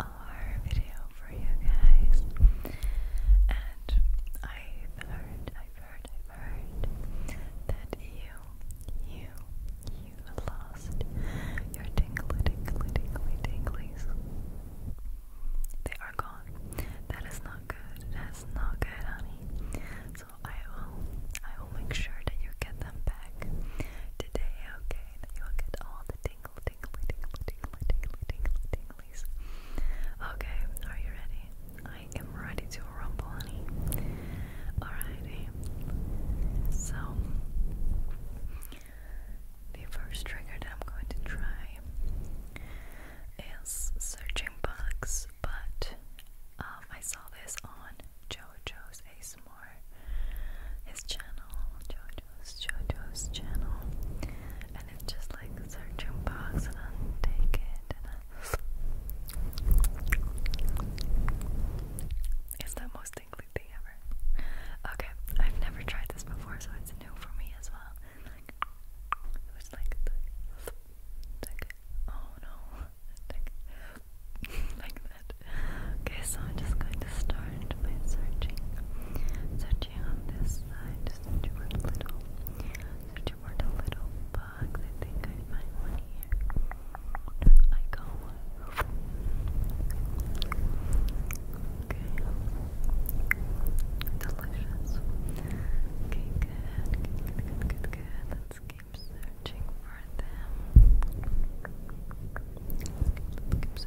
ASMR video for you guys. And I've heard, I've heard, I've heard that you, you, you lost your tingly, tingly, tingly, tinglies. They are gone. That is not good. That is not good, honey. So I will, I will make sure that you get them back okay? That you will get all the tingle, tingly, tingly, tingly, tingly, tingly, tinglies. Okay, are you ready? I am ready to rumble, honey. Alrighty. So, the first trigger that I'm going to try is searching bugs, but um, I saw this on JoJo's Ace more his channel, Jojo's Jojo's channel, and it's just like a search box and I take it it's the most tingly thing ever. Okay, I've never tried this before, so it's new for me as well. it was like, oh no, Okay, so I'm just going to start by searching. Searching on this side, searching for a little. Searching for the little bugs. I think I one here. I go Okay. Delicious. Okay, good. Good, good, good, good. let searching for them. Good, good,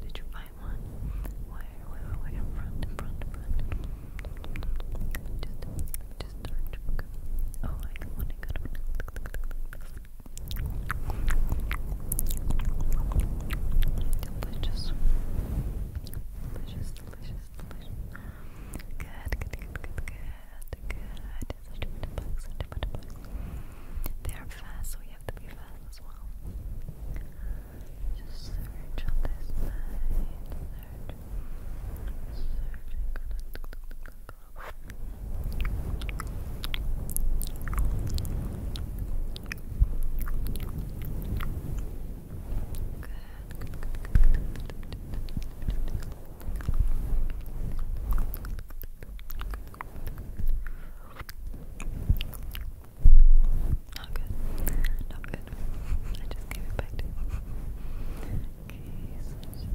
Did you find one? Where, where, where? front, front, front. Oh, I got one. Delicious. Delicious, delicious, delicious. Good, good, good, good, good, They are fast, so we have to be fast as well. Just search on this side. Search. Search. Go, not good. Not good. I just gave it back to you. Okay, so it's just good.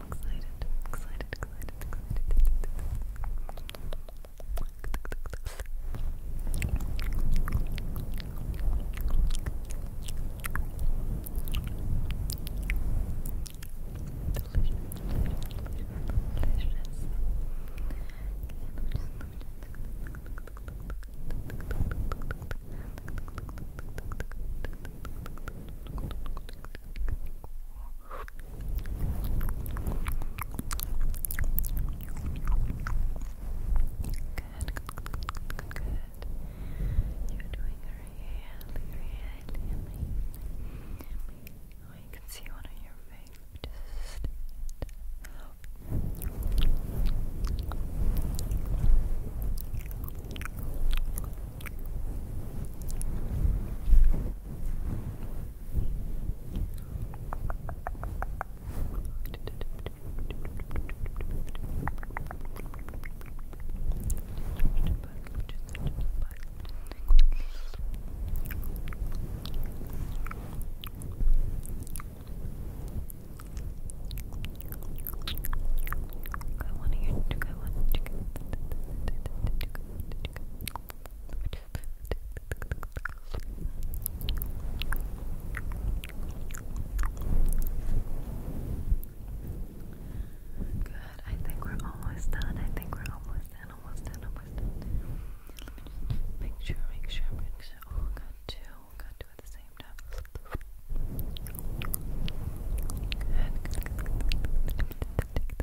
I'm excited, excited, excited, excited. Delicious, Good, good, good, good. You're doing really, really amazing. Oh, I can see one on your face. Just Good, I want to hear. I want to. Good. I think we're almost done. I think we're almost done. Almost done. Almost done. make sure. Make sure. Make sure. Oh, we got two. We got two at the same time.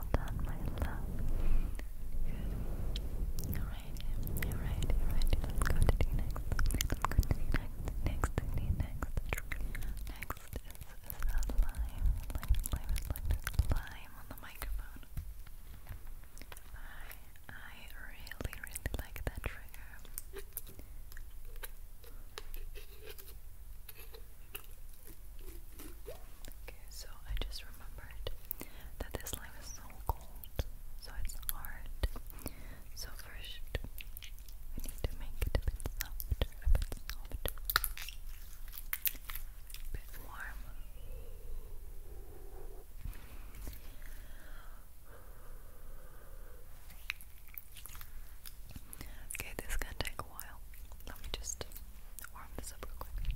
all done, my love. Good. Alrighty, alrighty, Let's go to the next. Let's go to the next, next, the next. Next is, is that lime. Lime, lime, on the microphone. I, I really, really like that trigger. Okay, so I just remembered that this lime is so cold, so it's hard. So first, we need to make it a bit softer, a bit softer, a bit warm. Okay, this can take a while. Let me just warm this up real quick. Okay,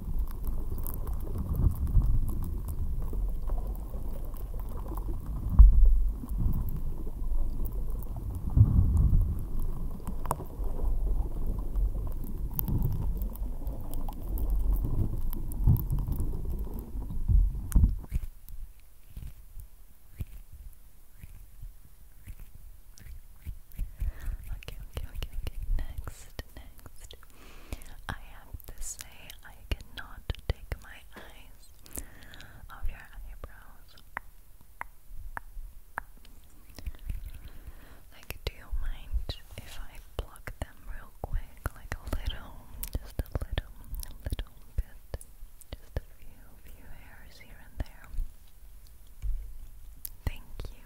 Okay, okay, okay, okay. Next, next, I have to say, I cannot take my eyes off your eyebrows. Like, do you mind if I pluck them real quick? Like a little, just a little, a little bit. Just a few, few hairs here and there. Thank you.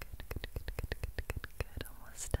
Good, good, good, good, good, good, good. Almost done.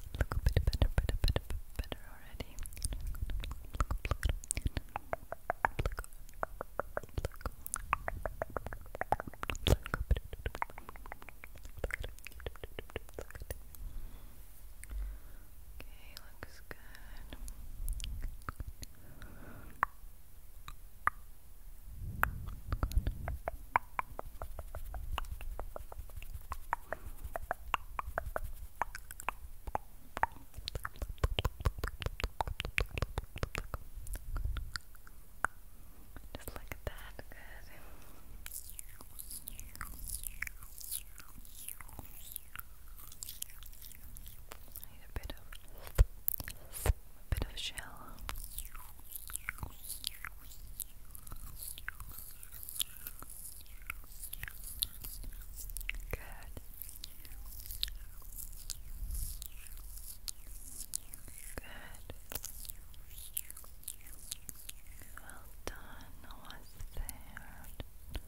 look, look a bit better, better, better, better already. Okay, looks Good. Just look at that. Good. I need a bit of a bit of shell. Good. Good. Good. Well done. Almost there. Good.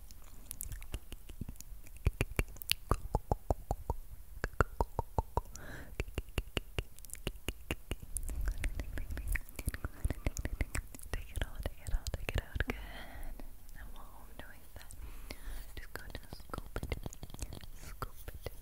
Take it out, take it out, take it out. Good. And while I'm doing that, just go to scoop it. Scoop it. Good. Scoop, scoop, scoop.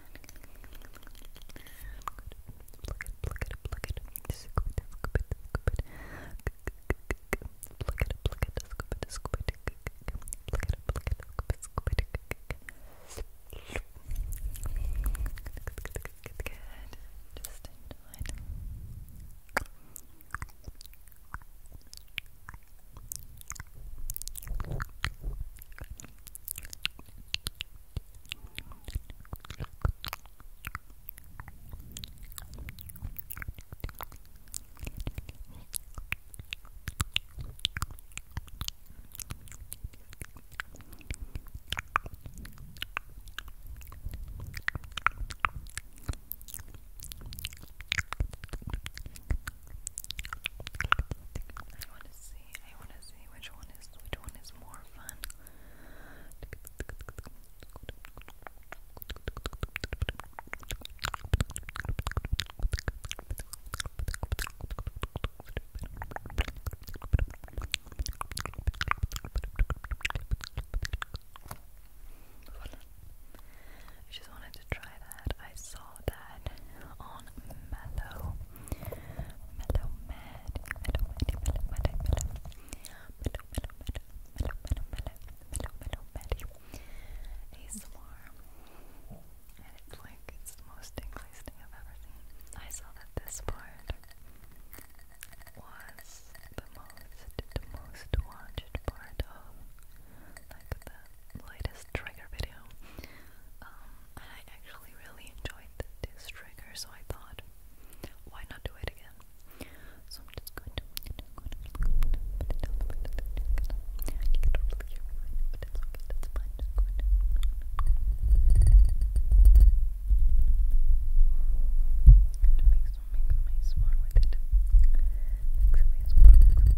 Pluck it, pluck it, scoop it, scoop it, scoop it. Pluck it, pluck it, scoop it, scoop it. Pluck it, pluck it, scoop it, scoop it. Good. Just enjoy it. Good. I want to see. I want to see which one is which one is more fun. Voilà. I just wanted to try that. I saw that on Mellow Mellow Mad, Mellow Mad, Mellow Mad, Mellow Mellow, Mellow Mad, Mellow, Mellow, Mellow, Mellow, Mellow Mad ASMR and it's like, it's the most tingliest thing I've ever seen I saw that this part was the most, the most watched part of like the latest trigger video um, I actually really enjoyed this trigger, so I thought, why not do it again? So I'm just going to You make some, make some ASMR with it. Make some ASMR,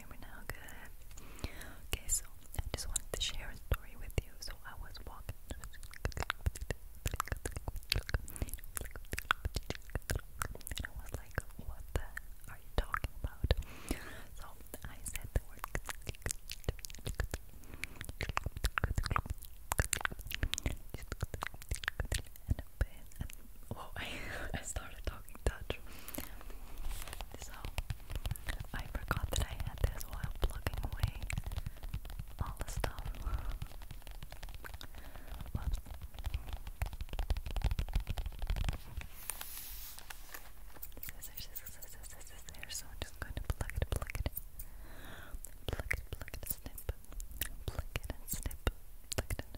hear me now? Good. Okay, so I just wanted to share a story with you. So I was walking. And I was like, what the are you talking about? So I said the word. And Whoa, I, started talking Dutch. So, I forgot that I had this while plugging away all the stuff. Whoops. Scissors, scissors, scissors, scissors. So I'm just going to plug it, plug it, plug it, plug it, snip, plug it and snip, plug it and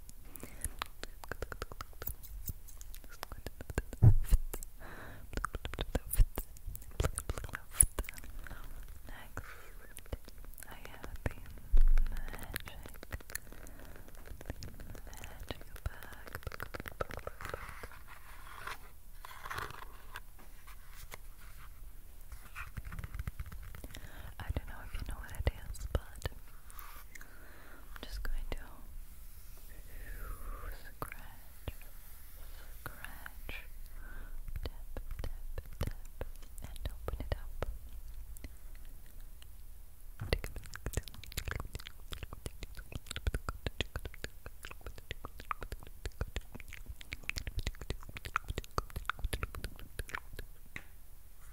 I don't know if you know what it is, but I'm just going to Scratch, scratch, tap, tap, tap, and open it up.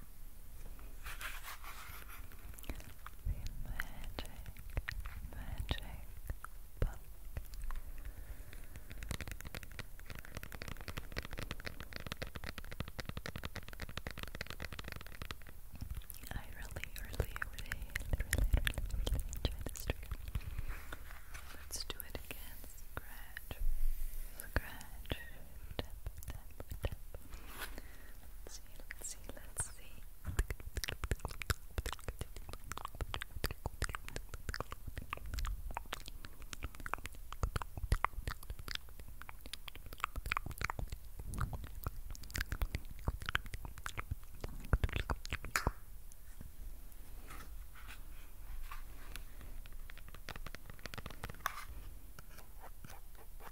The magic, magic book. I really, really, really, really, really, Let's do it again. Scratch, scratch, tap, tap, tap. Let's see, let's see, let's see.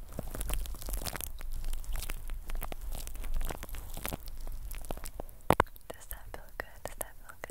Does that feel good? Does that feel good?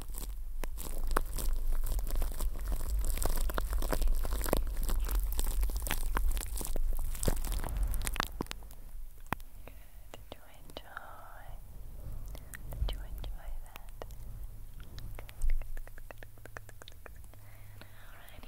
Did you enjoy? Did you enjoy that? Alrighty. Alright,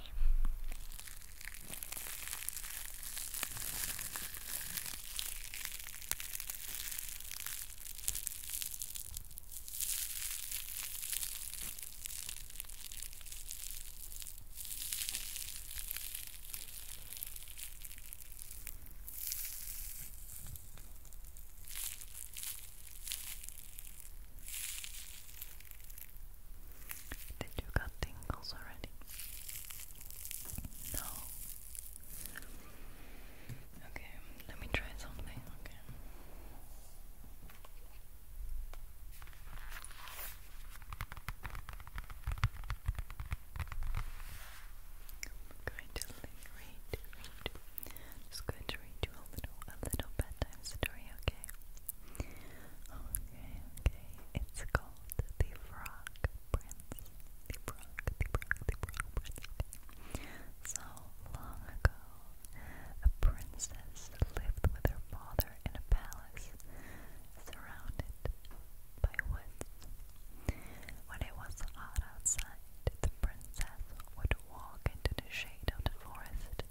did you got tingles already? No. Okay, let me try something. Okay. I'm going to read, just going to read a little, a little bedtime story. Okay. Okay. Okay. It's called the Frog Prince. The Frog. The Frog. The Frog Prince. So long ago, a princess lived with her father in a palace surrounded by woods. When it was hot outside, the princess would walk into the shade of the forest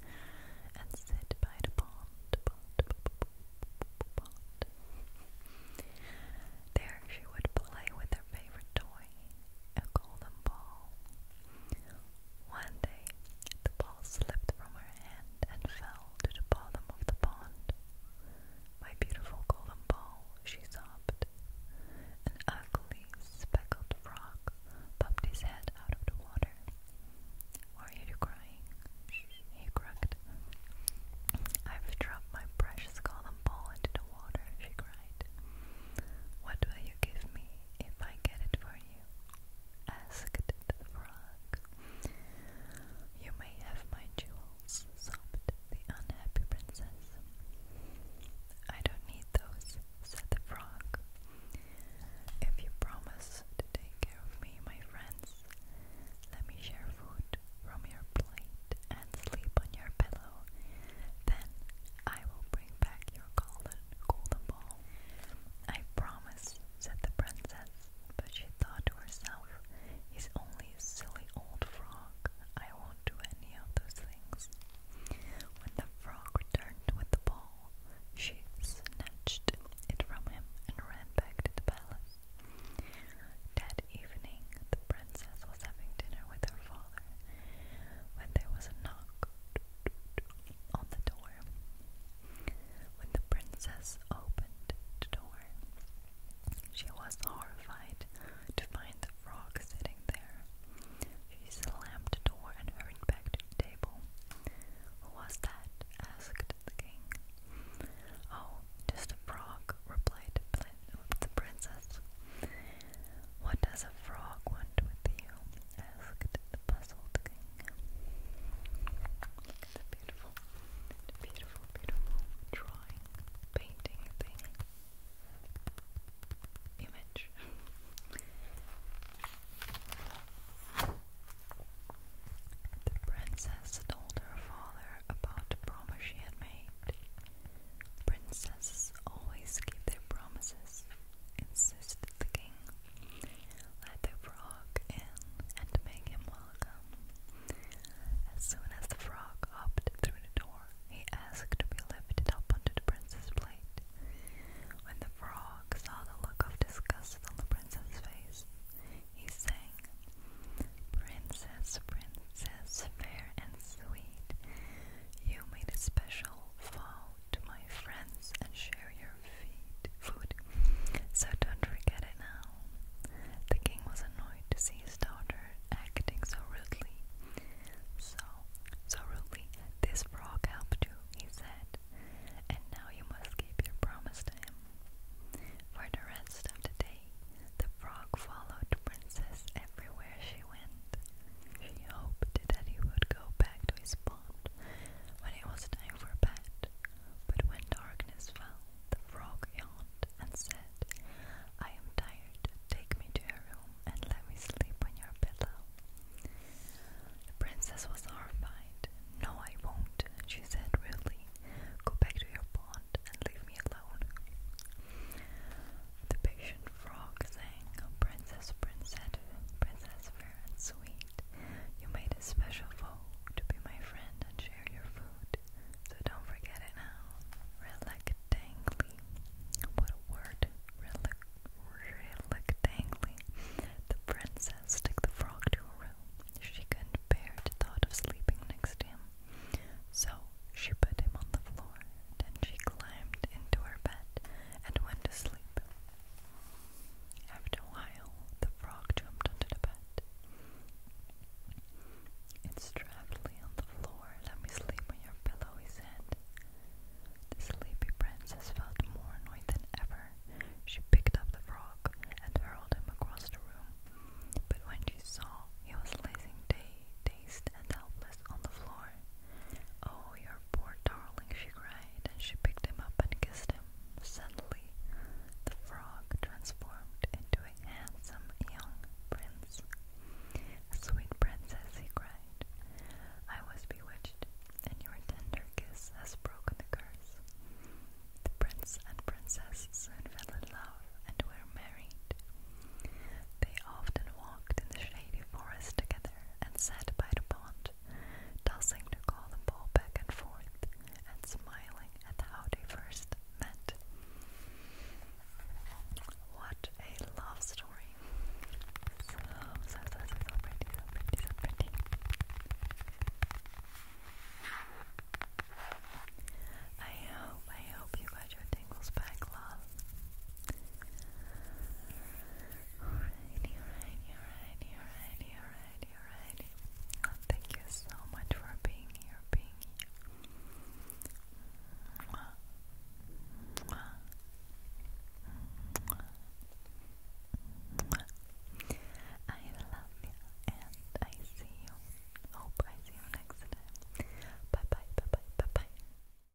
and sit by the pond. There she would play with her favorite toy, a golden ball. One day, the ball slipped from her hand and fell to the bottom of the pond. My beautiful golden ball, she sobbed. An ugly, speckled frog popped his head out of the water. Why are you crying? He croaked. I've dropped my precious golden ball into the water, she cried. What will you give me if I get it for you? asked the frog. You may have my jewels, sobbed the unhappy princess. I don't need those, said the frog. If you promise to take care of me, my friends, let me share food from your plate and sleep on your pillow then I will bring back your golden golden ball. I promise, said the princess, but she thought to herself, he's only a silly old frog. I won't do any of those things. When the frog returned with the ball, she snatched it from him and ran back to the palace. That evening, the princess was having dinner with her father, when there was a knock on the door. When the princess opened the door, she was horrified to find the frog sitting there. She slammed the door and hurried back to the table. Who was that? asked the king. Oh, just a frog, replied the princess. What does a frog want with you? asked the puzzled king. Look beautiful, beautiful, beautiful drawing, painting thing. Image. The princess told her father about the promise she had made. Princesses always keep their promises, insisted the king. Let the frog in and make him welcome. As soon as the frog hopped through the door, he asked to be lifted up onto the prince's plate. When the frog saw the look of disgust on the prince's face, he sang, Princess, princess, fair and sweet, you made a special vow to my friends and share your feed, food, so don't forget it now. The king was annoyed to see his daughter acting so rudely. So, so rudely, this frog helped you, he said, and now you must keep your promise to him. For the rest of the day, the frog followed the princess everywhere she went. She hoped that he would go back to his pond when it was time for bed, but when darkness fell, the frog yawned and said, I am tired, take me to your room and let me sleep on your pillow. The princess was horrified. No, I won't, she said rudely. Go back to your pond and leave me alone. The patient frog sang, oh, Princess, Princess, Princess fair and sweet, you made a special vow to be my friend and share your food, so don't forget it now. Reluctantly, what a word, reluctantly, the princess took the frog to her room. She couldn't bear the thought of sleeping next to him, so she put him on the floor. Then she climbed into her bed and went to sleep. After a while, the frog jumped onto the bed. It strappedly on the floor. Let me sleep on your pillow, he said. The sleepy princess felt more annoyed than ever. She picked up the frog and hurled him across the room. But when she saw he was lazing day dazed and helpless on the floor, Oh, your poor darling, she cried, and she picked him up and kissed him. Suddenly, the frog transformed into a handsome young prince. Sweet princess, he cried, I was bewitched, and your tender kiss has broken the curse. The prince and princess soon fell in love and were married. They often walked in the shady forest together and sat by the pond, tossing the golden ball back and forth and smiling at how they first met. What a love story! So, so, so, so, so pretty, so pretty, so pretty. I hope, I hope you got your tingles back, love. Alrighty, alrighty, alrighty, alrighty, alrighty, alrighty. Well, thank you so much for being here, being here. I love you and I see you. Hope I see you next time. Bye bye, bye bye, bye bye.